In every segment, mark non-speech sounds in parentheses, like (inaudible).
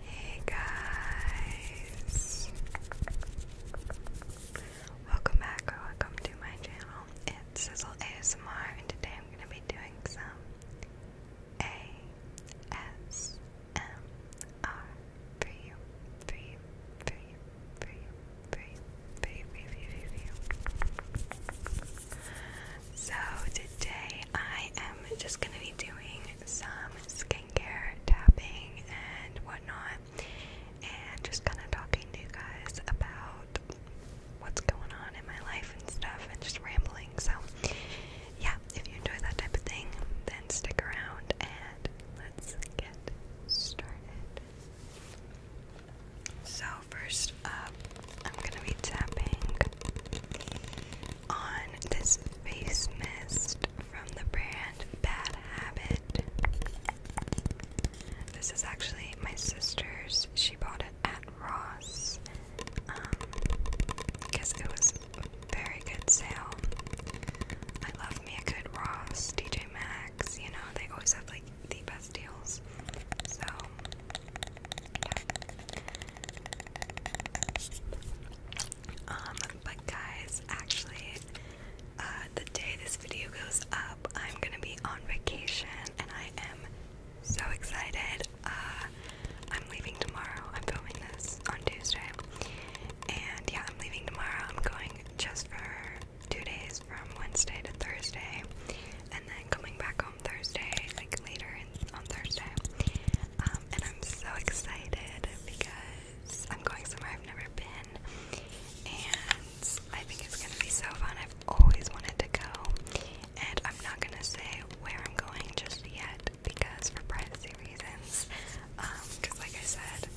Hey guys! Welcome back or welcome to my channel. It's Sizzle ASMR and today I'm going to be doing some ASMR for you, for you, for you, for you, for you, for you, for you, for you, So today I am just going to be doing some skincare tapping and whatnot, and just kind of talking to you guys about what's going on in my life and stuff, and just rambling. So, yeah, if you enjoy that type of thing, then stick around and let's get started. So, first up, I'm gonna be tapping on this face mist from the brand Bad Habit. This is actually my sister's. She bought it at Ross because um, it was a very good sale. I love me a good Ross, DJ Maxx. You know they always have like the best deals. So um, but guys, actually, uh, the day this video goes up, I'm gonna be on vacation, and I am so excited. Uh, I'm leaving tomorrow. I'm filming this on Tuesday, and yeah, I'm leaving tomorrow. I'm going just for two days, from Wednesday to Thursday, and then coming back home. Thursday, like later on Thursday. Um, and I'm so excited because I'm going somewhere I've never been, and I think it's gonna be so fun. I've always wanted to go, and I'm not gonna say where I'm going just yet because for privacy reasons. Because, um, like I said,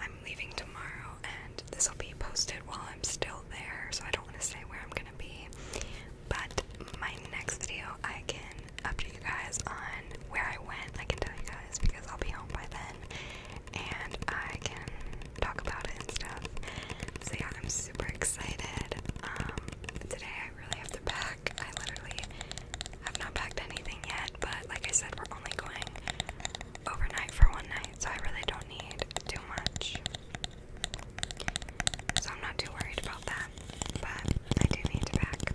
I'm leaving tomorrow, and this will be posted while I'm still there, so I don't do want to say where I'm gonna be, but my next video I can update you guys on where I went. I can tell you guys because I'll be home by then, and I can talk about it and stuff. So yeah, I'm super excited. Um, today I really have to pack. I literally have not packed anything yet, but like I said, we're only going overnight for one night, so I really don't need too much. So I'm not too worried about that, but I do need to pack.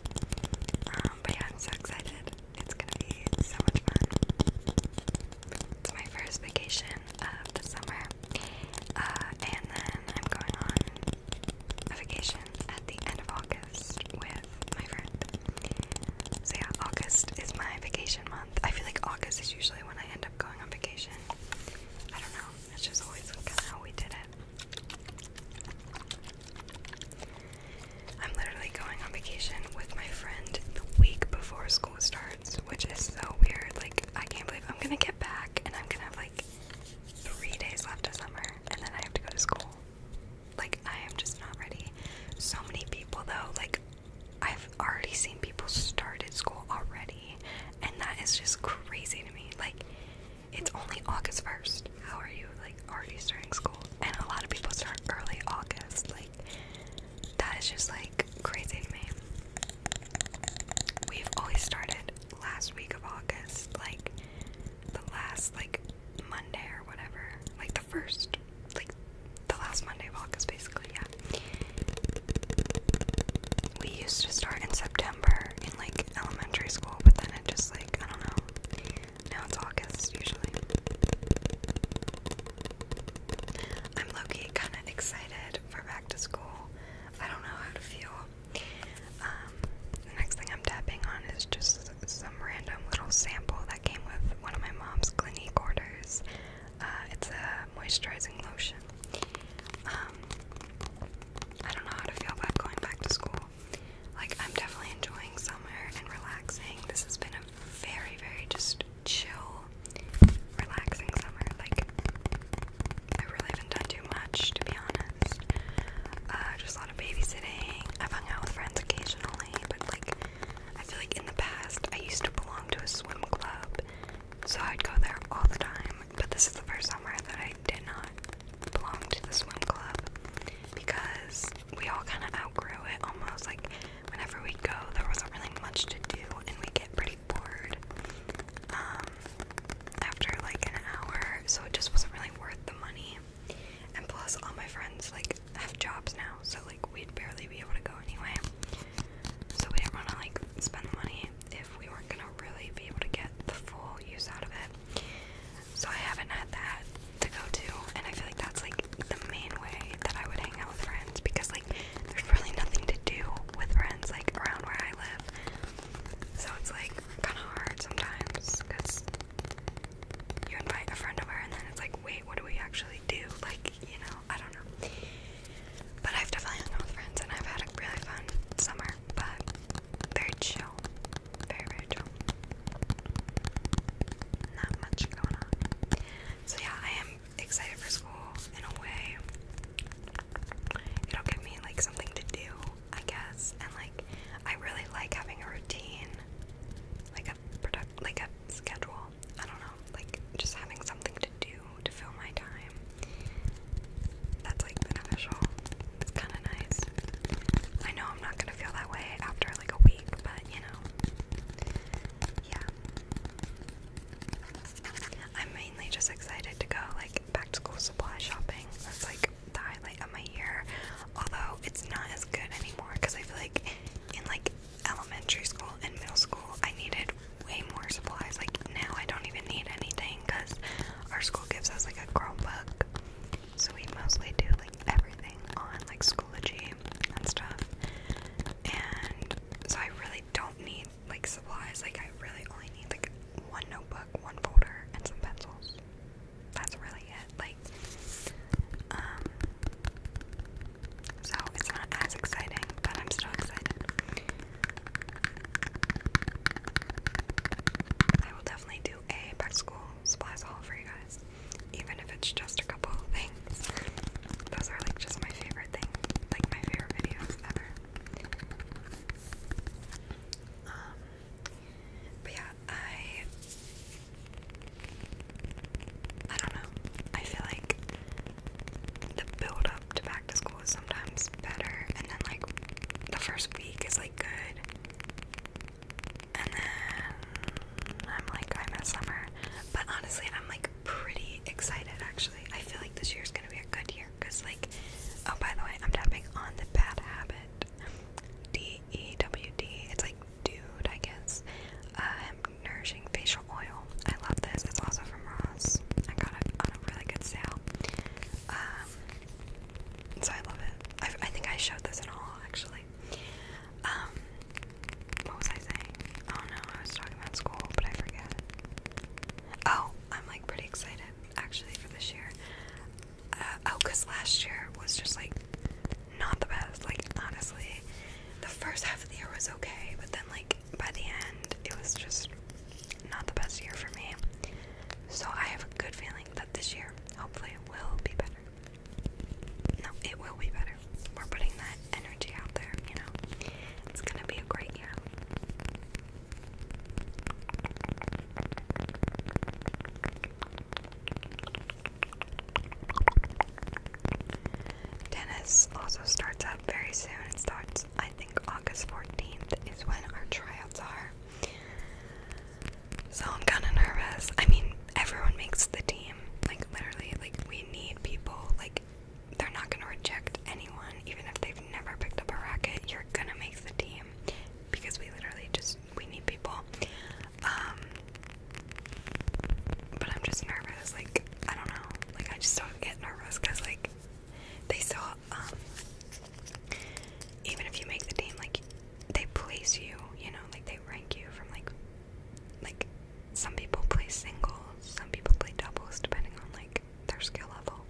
Um, but yeah, I'm so excited. It's gonna be so much fun. It's my first vacation of the summer, uh, and then I'm going on a vacation at the end of August with my friend. So yeah, August is my vacation month. I feel like August is usually when I end up going on vacation. I don't know. That's just always kind of how we did it. I'm literally going on vacation with my friend the week before school starts, which is so weird. Like, I can't believe I'm gonna get back and I'm gonna have like three days left of summer and then I have to go to school. Like, I am just not ready. So many people, though, like, I have I've already seen people start at school already, and that is just crazy to me. Like, it's only August 1st. How are you, like, already starting school? And a lot of people start early August. Like, that is just, like, crazy to me. We've always started last week of August, like, the last, like, Monday or whatever. Like, the first, like, the last Monday of August, basically, yeah. We used to start in September in like elementary school, but then it just like, I don't know. Now it's August usually. I'm low kind of excited for back to school. I don't know how to feel. Um, the next thing I'm tapping on is just some random little sample that came with one of my mom's clinique orders. Uh, it's a moisturizing lotion. Um, I don't know how to feel about going back to school. Like, I'm definitely enjoying summer and relaxing. This has been a very, very just chill, relaxing summer. Like, I really haven't done too much, to be honest. Uh, just a lot of babysitting. i hung out with friends occasionally, but like, I feel like in the past I used to belong to a swim club, so I'd go there all the time. But this is the first summer that I did not belong to the swim club because we all kind of outgrew it almost. Like, whenever we go, there wasn't really much to do, and we get pretty bored um, after like an hour, so it just wasn't really worth the money. And plus, all my friends like have jobs now, so like we'd barely be able to go anyway. So we didn't want to like spend the money if we weren't gonna really be able to get the full use out of it. So I haven't had that to go to, and I feel like that's like the main way that I would hang out with friends because like there's really nothing to do with friends like around where I live. So it's like kind of hard sometimes because you invite a friend over and then it's like, wait, what do we actually do? Like, you know. I don't know. But I've definitely hung out with friends and I've had a really fun summer, but very chill. Very, very chill. Not much going on. So, yeah, I am excited for school in a way. It'll give me like something to do, I guess, and like I really like having a routine, like a product, like a schedule. I don't know, like just having something to do to fill my time. That's like beneficial. It's kind of nice. I know I'm not gonna feel that way after like a week, but you know, yeah. I'm mainly just excited to go like back to school supply shopping. That's like the highlight of my year. Although it's not as good anymore because I feel like in like elementary school and middle school, I needed way more supplies. Like now, I don't even need anything because our school gives us like a Chromebook, so we mostly do like everything on like Schoology and stuff. And so I really don't need like supplies. Like I really only need like one notebook, one folder, and some pencils. That's really like um, so it's not as exciting, but I'm still excited. I will definitely do a back school supplies haul for you guys, even if it's just a couple things. Those are like just my favorite thing, like my favorite videos ever. Um, but yeah, I I don't know. I feel like the build up to back to school is sometimes better, and then like the first week is like good, and then I'm like I miss summer. But honestly, I'm like pretty excited actually. I feel like this year's gonna be a good year because like oh by the way, I'm tapping on the bad habit. D E W D. It's like dude, I guess. Uh, nourishing facial oil. I love this. It's also from Ross. I got it on a really good sale. Um, so I love it. I, think I showed this in all actually. Um, what was I saying? Oh no, I was talking about school, but I forget. Oh, I'm like pretty excited actually for this year. Uh, oh, cause last year was just like not the best. Like honestly, the first half of the year was okay, but then like by the end, it was just not the best year for me. So I have a good feeling that this year, hopefully, it will be better. No, it will be better. We're putting that energy out there, you know. It's gonna be a great year. Tennis also starts up very soon. It starts, I think, August 14th is when our tryouts are. So I'm kind of nervous. I mean, everyone makes the team. Like, literally, like, we need people. Like, they're not going to reject anyone. Even if they've never picked up a racket, you're going to make the team. Because we literally just we need people. Um, but I'm just nervous. Like I don't know. Like I just don't get nervous because like they still um, even if you make the team like they place you. You know, like they rank you from like like some people play singles, some people play doubles depending on like their skill level,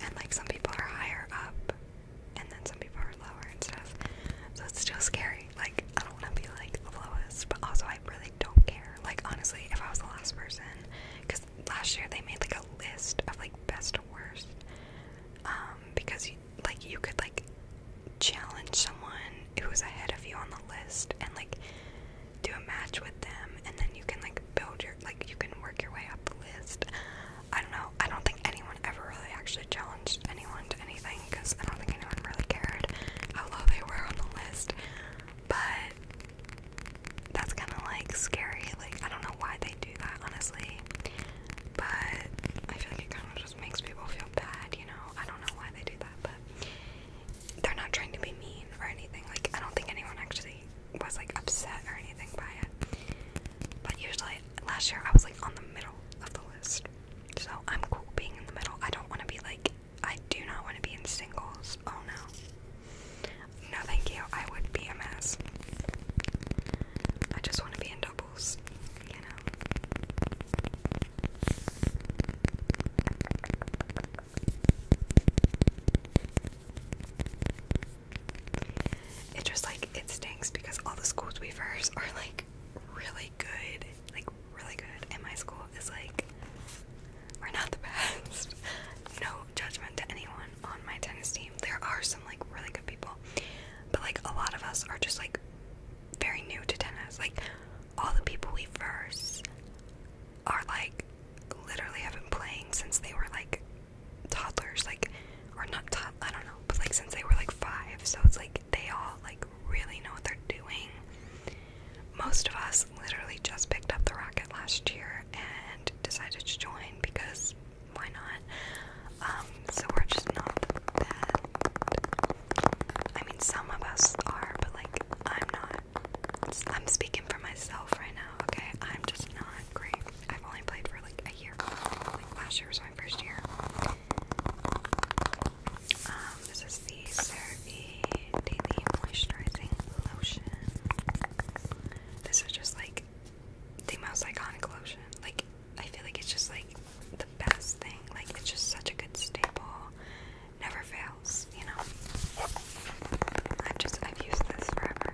and like some people are higher up and then some people are lower and stuff. So it's still scary. Like I don't want to be like the lowest, but also I really don't care. Like honestly, if I was the last person, because last year they made like a list of like best to worst, um, because you, like you could like challenge someone who was ahead of you on the list and like do a match with them, and then you can like build your like you can work your way up the list. I don't know. I don't think anyone ever really actually challenged anyone to anything because I don't think anyone really cared how low they were on the list. But that's kind of like scary. Like, I don't know why they do that, honestly. But I feel like it kind of just makes people feel bad, you know? I don't know why they do that, but they're not trying to be mean or anything. Like, I don't think anyone actually was like upset or anything by it. But usually last year I was like on the middle of the list. So I'm cool being in the middle. I don't want to be like I do not want to be in singles. Oh no. No thank you. I would be a mess. I just want to be in doubles, you know. It just like it stinks because all the schools we first are like really good, like really good, and my school is like we're not the (laughs) best. no judgment to anyone on my tennis team. There are some like really good people, but like a lot of us are just like very new to tennis. Like all the people we first are like literally have been playing since they were like toddlers, like, or not I don't know, but like since they were like five, so it's like they all like really know what they're doing. Most of us literally just picked up the rocket last year and decided to join because why not? Um, so we're just not that. I mean, some of us are, but like I'm not. I'm speaking for myself right now, okay? I'm just not great. I've only played for like a year. last year was my first year. Um, this is the CeraVe Daily Moisturizing Lotion. This is just like the most iconic lotion. Like, I feel like it's just like the best thing. Like, it's just such a good staple. Never fails, you know? I've just I've used this forever.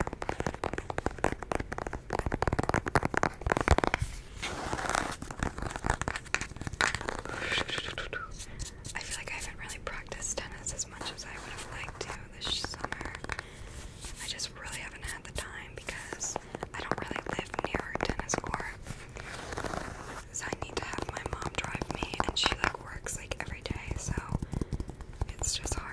I feel like I haven't really practiced tennis as much as I would have liked to this summer. I just really haven't had the time because I don't really live near a tennis court. So I need to have my mom drive me, and she lives works like every day, so it's just hard.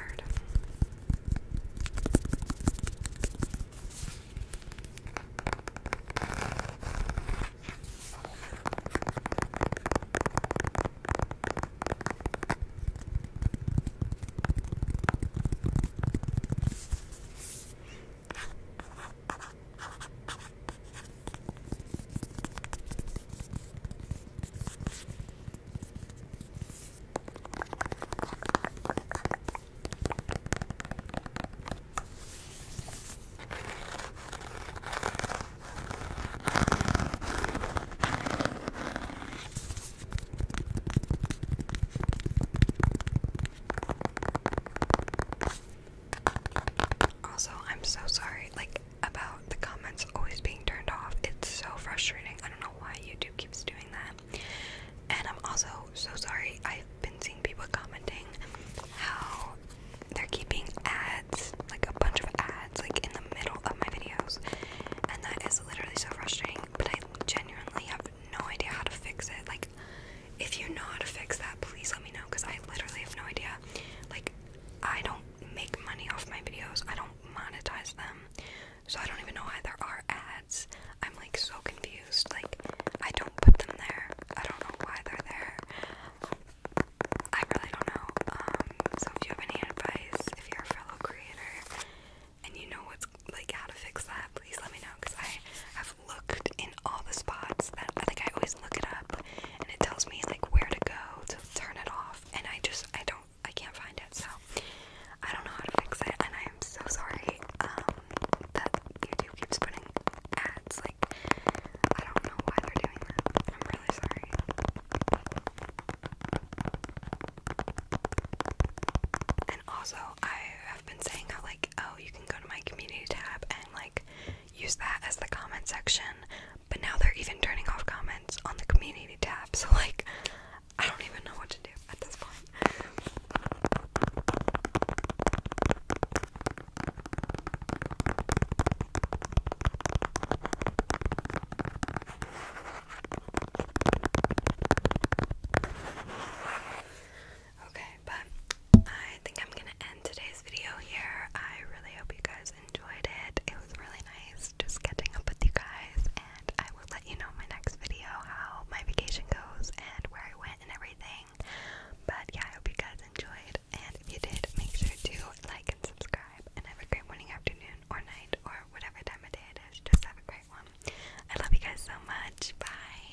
Also, I'm so sorry. Like, about the comments always being turned off. It's so frustrating. I don't know why YouTube keeps doing that. And I'm also so sorry. I've been seeing people commenting how they're keeping ads, like a bunch of ads, like in the middle of my videos. And that is literally so frustrating. But I genuinely have no idea how to fix it. Like, if you know how to fix that, please let me know because I literally have no idea. Like, I don't make money off my videos. I don't monetize them. So I don't even know why there are ads. I'm like so confused. Like I don't put them there. I don't know why they're there. I really don't know. Um, so if you have any advice, if you're a fellow creator and you know what's like how to fix that, please let me know because I have looked in all the spots that I think I always look it up and it tells me like where to go to turn it off and I just I don't I can't find it so I don't know how to fix it and I am so sorry um, that YouTube keeps putting ads like I don't know why they're doing that. I'm really sorry. And also I have been saying like oh you can go to my community tab and like use that as the comment section but now they're even turning off comments on the community tab, so like I don't even know what to do at this point. Okay, but I think I'm gonna end today's video here. I really hope you guys enjoyed it. It was really nice just getting up with you guys, and I will let you know in my next video how my vacation goes and where I went and everything. But yeah, I hope you guys enjoyed, and if you did, make sure to like and subscribe, and have a great morning, afternoon, or night, or whatever time of day it is. Just have a great one. I love you guys so much. Bye.